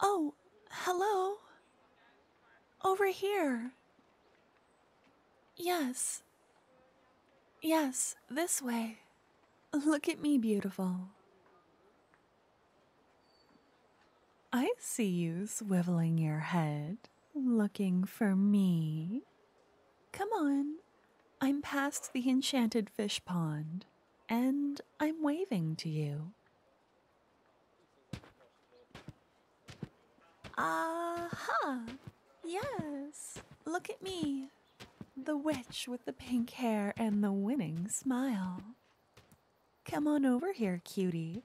Oh, hello. Over here. Yes. Yes, this way. Look at me, beautiful. I see you swiveling your head, looking for me. Come on, I'm past the enchanted fish pond and I'm waving to you. Aha! Uh-huh. Yes! Look at me! The witch with the pink hair and the winning smile. Come on over here, cutie.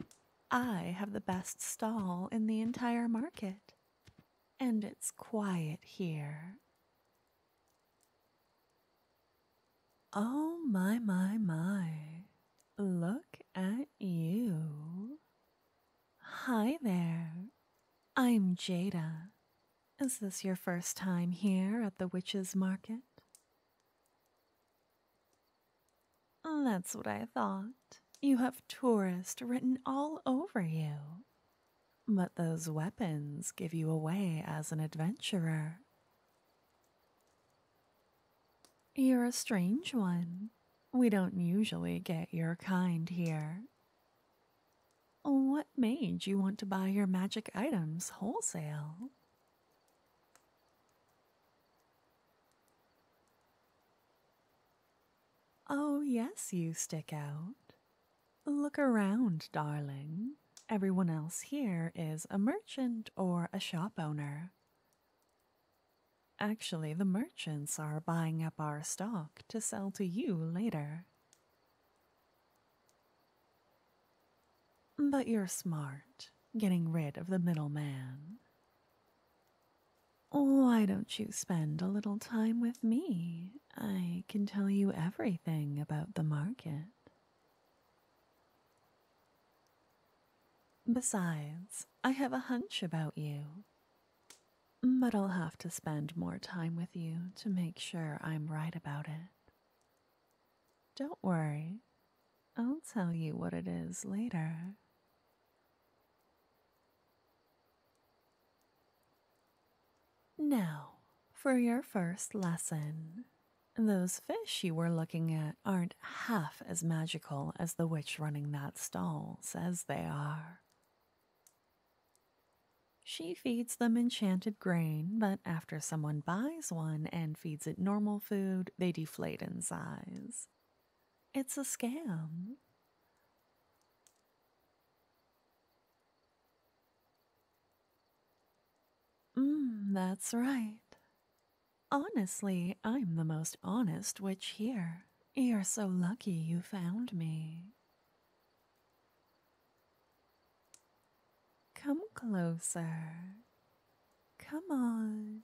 I have the best stall in the entire market. And it's quiet here. Oh, my, my, my. Look at you. Hi there. I'm Jada. Is this your first time here at the witch's market? That's what I thought. You have tourist written all over you. But those weapons give you away as an adventurer. You're a strange one. We don't usually get your kind here. What made you want to buy your magic items wholesale? Oh, yes, you stick out. Look around, darling. Everyone else here is a merchant or a shop owner. Actually, the merchants are buying up our stock to sell to you later. But you're smart, getting rid of the middleman. Why don't you spend a little time with me? I can tell you everything about the market. Besides, I have a hunch about you. But I'll have to spend more time with you to make sure I'm right about it. Don't worry, I'll tell you what it is later. Now, for your first lesson, those fish you were looking at aren't half as magical as the witch running that stall says they are. She feeds them enchanted grain, but after someone buys one and feeds it normal food, they deflate in size. It's a scam. Mm, that's right. Honestly, I'm the most honest witch here. You're so lucky you found me. Come closer. Come on.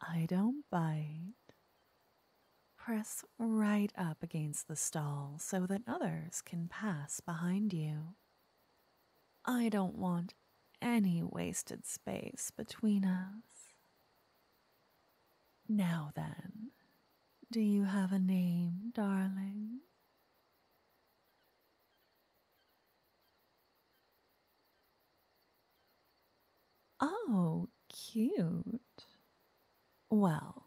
I don't bite. Press right up against the stall so that others can pass behind you. I don't want any wasted space between us. Now then, do you have a name, darling? Oh, cute. Well,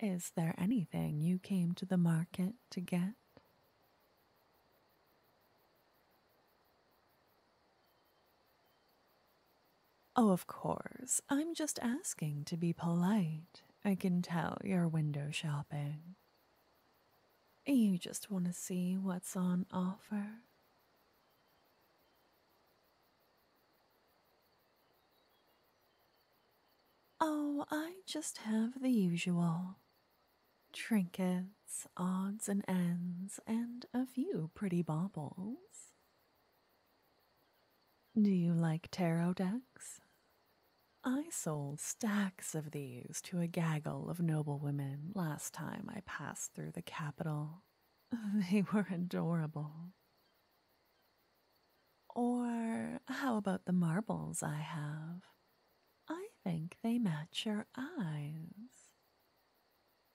is there anything you came to the market to get? Oh, of course. I'm just asking to be polite. I can tell you're window shopping. You just want to see what's on offer. Oh, I just have the usual trinkets, odds and ends, and a few pretty baubles. Do you like tarot decks? I sold stacks of these to a gaggle of noble women last time I passed through the capital. They were adorable. Or how about the marbles I have? I think they match your eyes.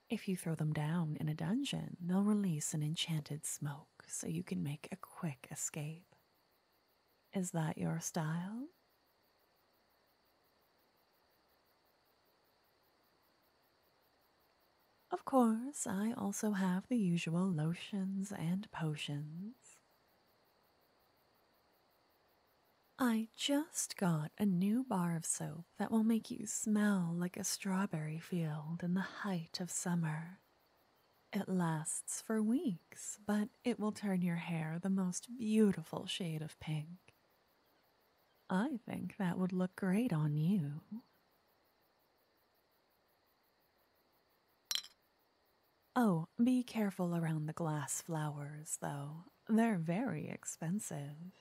If you throw them down in a dungeon, they'll release an enchanted smoke so you can make a quick escape. Is that your style? Of course, I also have the usual lotions and potions. I just got a new bar of soap that will make you smell like a strawberry field in the height of summer. It lasts for weeks, but it will turn your hair the most beautiful shade of pink. I think that would look great on you. Oh, be careful around the glass flowers, though. They're very expensive.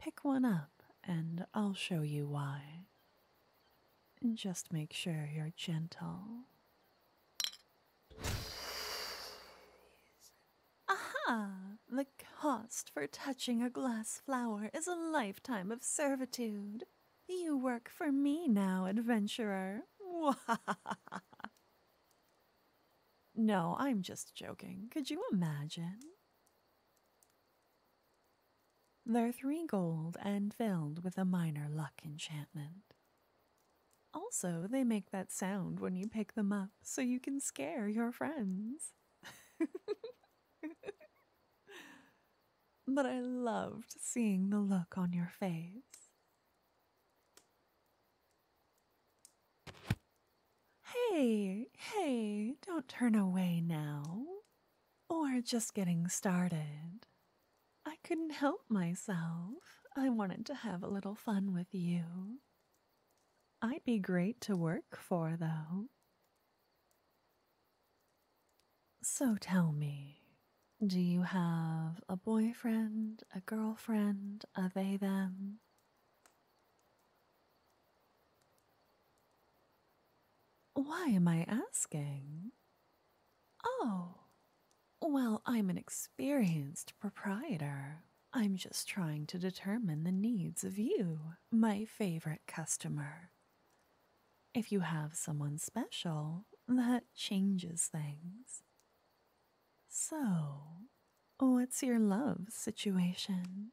Pick one up, and I'll show you why. Just make sure you're gentle. Aha! The cost for touching a glass flower is a lifetime of servitude. You work for me now, adventurer. no, I'm just joking. Could you imagine? They're three gold and filled with a minor luck enchantment. Also, they make that sound when you pick them up so you can scare your friends. but I loved seeing the look on your face Hey, hey, don't turn away now. Or just getting started. I couldn't help myself. I wanted to have a little fun with you. I'd be great to work for, though. So tell me, do you have a boyfriend, a girlfriend, a they them? Why am I asking? Oh, well, I'm an experienced proprietor. I'm just trying to determine the needs of you, my favorite customer. If you have someone special, that changes things. So, what's your love situation?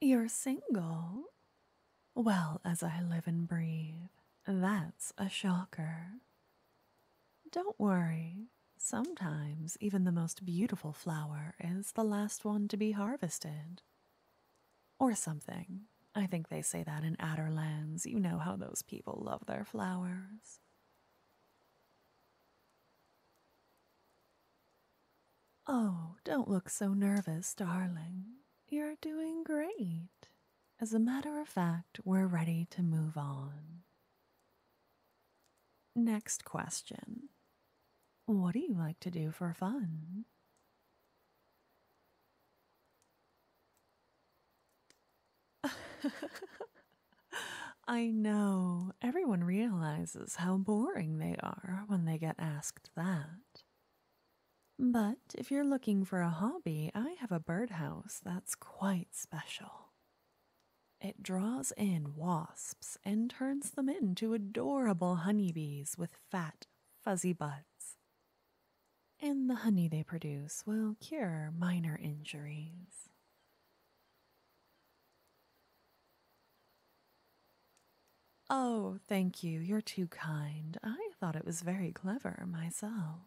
You're single? Well, as I live and breathe, that's a shocker. Don't worry, sometimes even the most beautiful flower is the last one to be harvested. Or something. I think they say that in Adderlands. You know how those people love their flowers. Oh, don't look so nervous, darling. You're doing great. As a matter of fact, we're ready to move on. Next question what do you like to do for fun? I know. Everyone realizes how boring they are when they get asked that. But if you're looking for a hobby, I have a birdhouse that's quite special. It draws in wasps and turns them into adorable honeybees with fat, fuzzy butts. And the honey they produce will cure minor injuries. Oh, thank you. You're too kind. I thought it was very clever myself.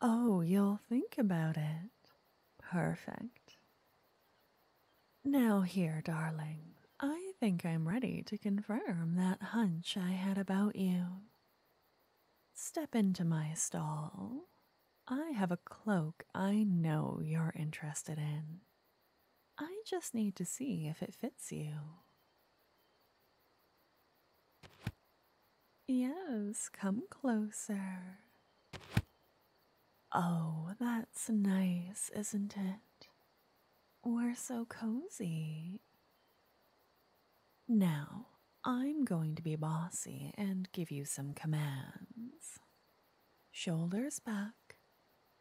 Oh, you'll think about it. Perfect. Now, here, darling, I think I'm ready to confirm that hunch I had about you. Step into my stall. I have a cloak I know you're interested in. I just need to see if it fits you. Yes, come closer. Oh, that's nice, isn't it? We're so cozy. Now, I'm going to be bossy and give you some commands. Shoulders back,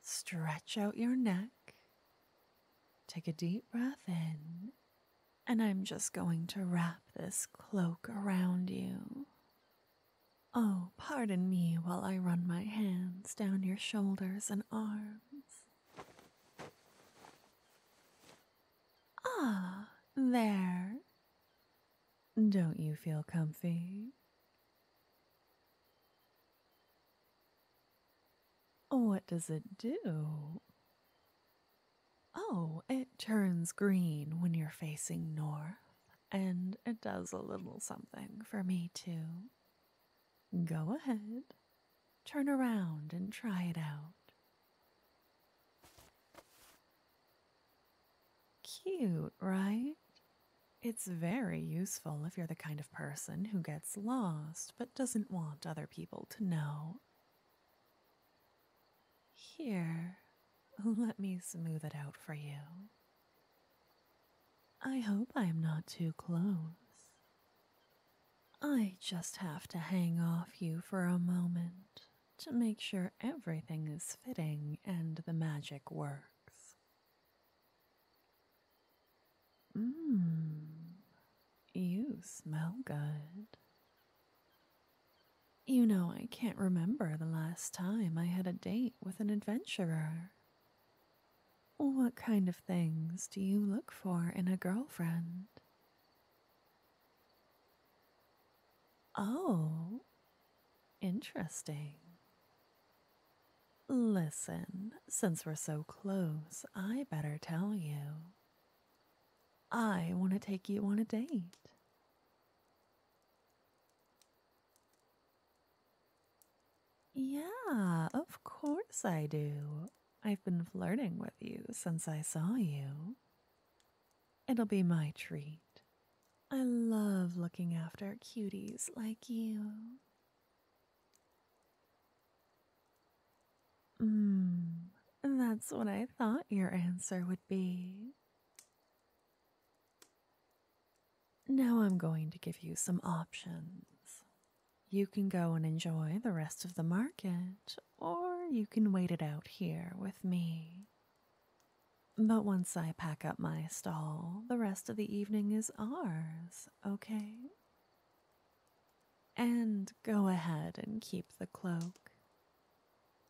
stretch out your neck, take a deep breath in and I'm just going to wrap this cloak around you. Oh, pardon me while I run my hands down your shoulders and arms. Ah, there. Don't you feel comfy? What does it do? Oh, it turns green when you're facing north, and it does a little something for me, too. Go ahead, turn around and try it out. Cute, right? It's very useful if you're the kind of person who gets lost but doesn't want other people to know. Here, let me smooth it out for you. I hope I am not too close. I just have to hang off you for a moment to make sure everything is fitting and the magic works. Mmm, you smell good. You know, I can't remember the last time I had a date with an adventurer. What kind of things do you look for in a girlfriend? Oh, interesting. Listen, since we're so close, I better tell you. I want to take you on a date. Yeah, of course I do. I've been flirting with you since I saw you. It'll be my treat. I love looking after cuties like you. Mmm, that's what I thought your answer would be. Now I'm going to give you some options. You can go and enjoy the rest of the market, or you can wait it out here with me. But once I pack up my stall, the rest of the evening is ours, okay? And go ahead and keep the cloak.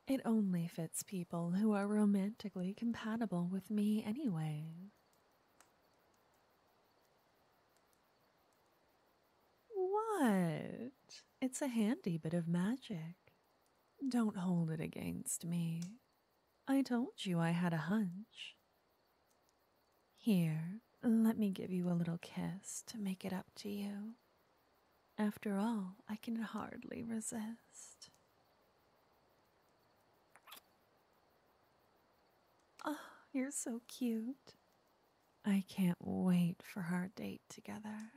It only fits people who are romantically compatible with me anyway. What? It's a handy bit of magic. Don't hold it against me. I told you I had a hunch. Here, let me give you a little kiss to make it up to you. After all, I can hardly resist. Oh, you're so cute. I can't wait for our date together.